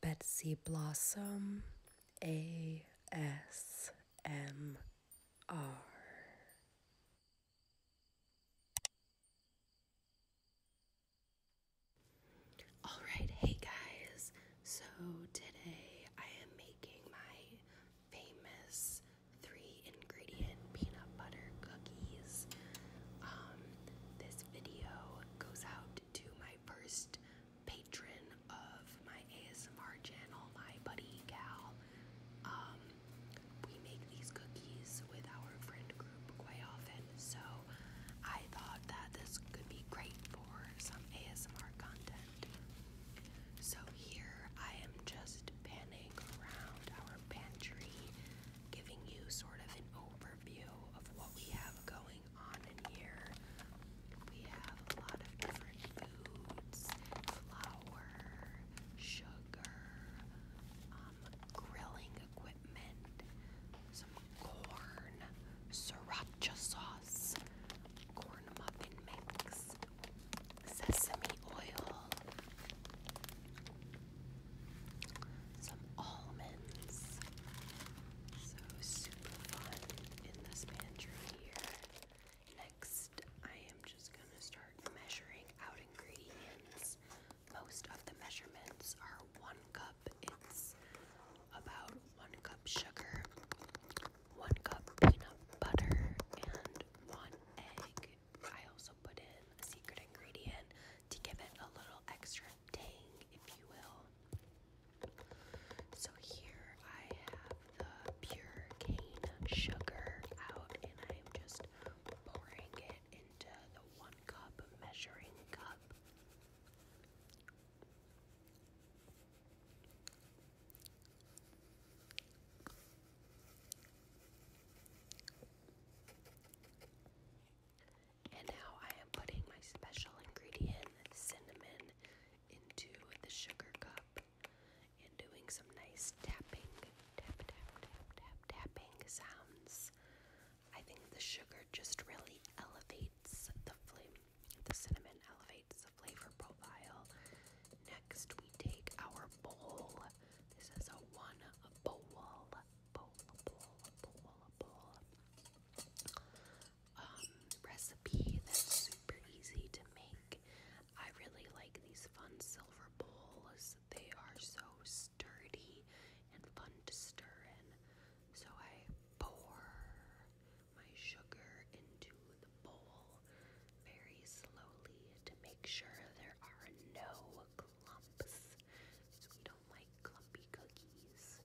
Betsy Blossom ASMR. All right, hey guys. So today I am making my famous three ingredient peanut butter cookies. Um, this video goes out to my first patron of my ASMR channel, my buddy Cal. Um, we make these cookies with our friend group quite often, so I thought that this could be great for some ASMR content. So here I am just panning around our pantry, giving you sort of an overview of what we have going on in here. We have a lot of different foods, flour, sugar, um, grilling equipment, some corn, sriracha sauce, corn muffin mix, sesame oil, some almonds. So super fun in this pantry here. Next, I am just going to start measuring out ingredients. Most of the measurements are one cup. It's about one cup sugar, one cup peanut butter, and one egg. I also put in a secret ingredient to give it a little extra tang, if you will. So here I have the pure cane sugar out, and I am just pouring it into the one cup measuring cup. And now I am putting my special ingredient, cinnamon, into the sugar cup and doing some nice tapping, tap, tap, tap, tap, tapping sounds. I think the sugar just really elevates the flame. The cinnamon elevates the flavor profile next we take our bowl. This is a one bowl, bowl, bowl, bowl, bowl um, recipe that's super easy to make. I really like these fun silver bowls. They are so sturdy and fun to stir in. So I pour my sugar into the bowl very slowly to make sure there are no clumps. We don't like clumpy cookies.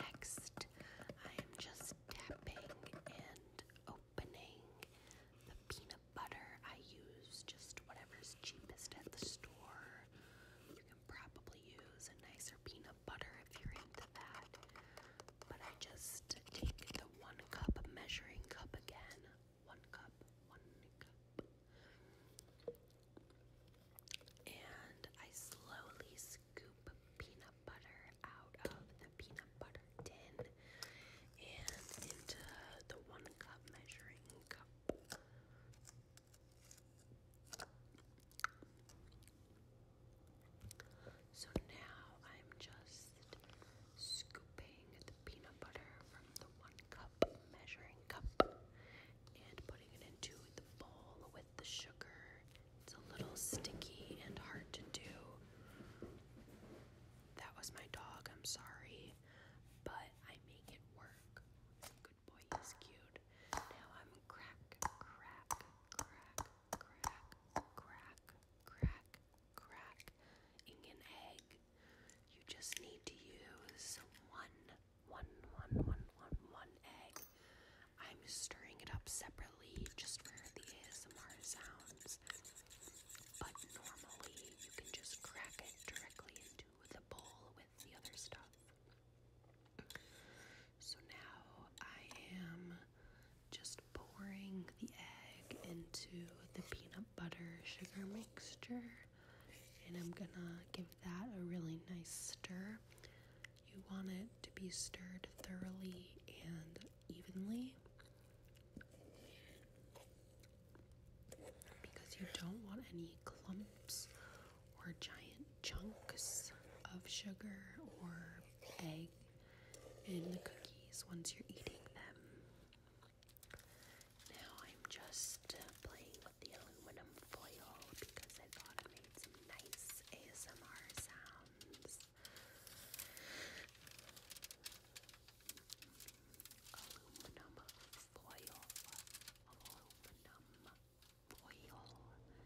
Next, I am just tapping and opening the peanut butter. I use just whatever's cheapest at the store. You can probably use a nicer peanut butter if you're into that but I just take the one cup measuring cup again. One cup, one cup. And I slowly scoop peanut butter out of the peanut butter tin and into the one cup measuring cup. So now I'm just scooping the peanut butter from the one cup measuring cup and putting it into the bowl with the sugar. It's a little sticky and hard to do. That was my dog, I'm sorry, but I make it work. Good boy, he's cute. Now I'm crack, crack, crack, crack, crack, crack, crack in an egg. You just need to use one, one, one, one, one, one egg. I'm stirring it up separately just for the ASMR sounds. But normally you can just crack it directly into the bowl with the other stuff. So now I am just pouring the egg into the peanut butter sugar mixture. And I'm gonna give that a really nice stir. You want it to be stirred thoroughly and evenly because you don't want any clumps or giant chunks of sugar or egg in the cookies once you're eating them. Now I'm just playing with the aluminum foil because I thought it made some nice ASMR sounds. Aluminum foil. Aluminum foil.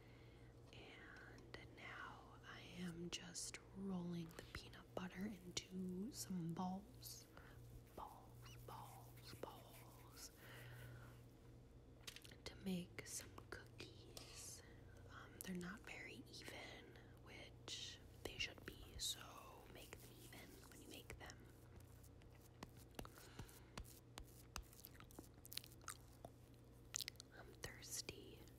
And now I am just rolling the peanut butter into some balls. Balls, balls, balls. To make some cookies. Um, they're not very even, which they should be, so make them even when you make them. I'm thirsty.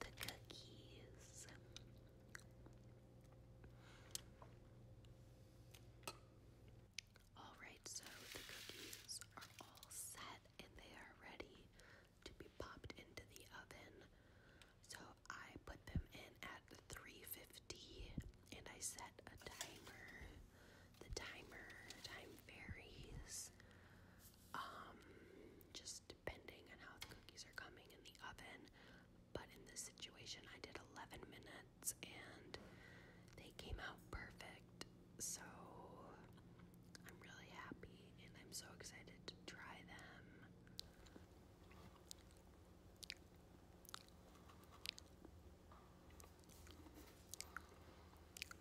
the cookies. Alright, so the cookies are all set and they are ready to be popped into the oven. So I put them in at 350 and I set a timer. The timer time varies um, just depending on how the cookies are coming in the oven. But in this situation, I did 11 minutes and they came out perfect. So I'm really happy and I'm so excited to try them.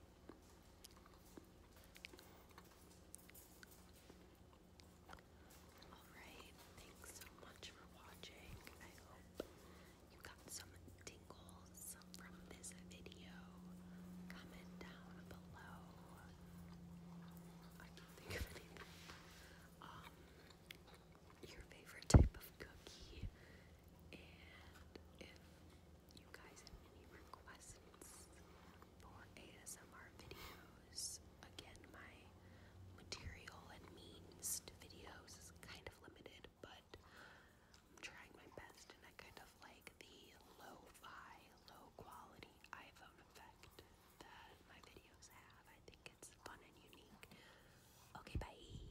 Alright, thanks so much for watching. I hope you got some tingles from this video. Comment down below. I can't think of anything. Um, your favorite type of cookie, and if you guys have any requests for ASMR videos. Again, my material and means to videos is kind of limited, but I'm trying my best and I kind of like the low-fi, low-quality iPhone effect that my videos have. I think it's fun and unique. Okay, bye!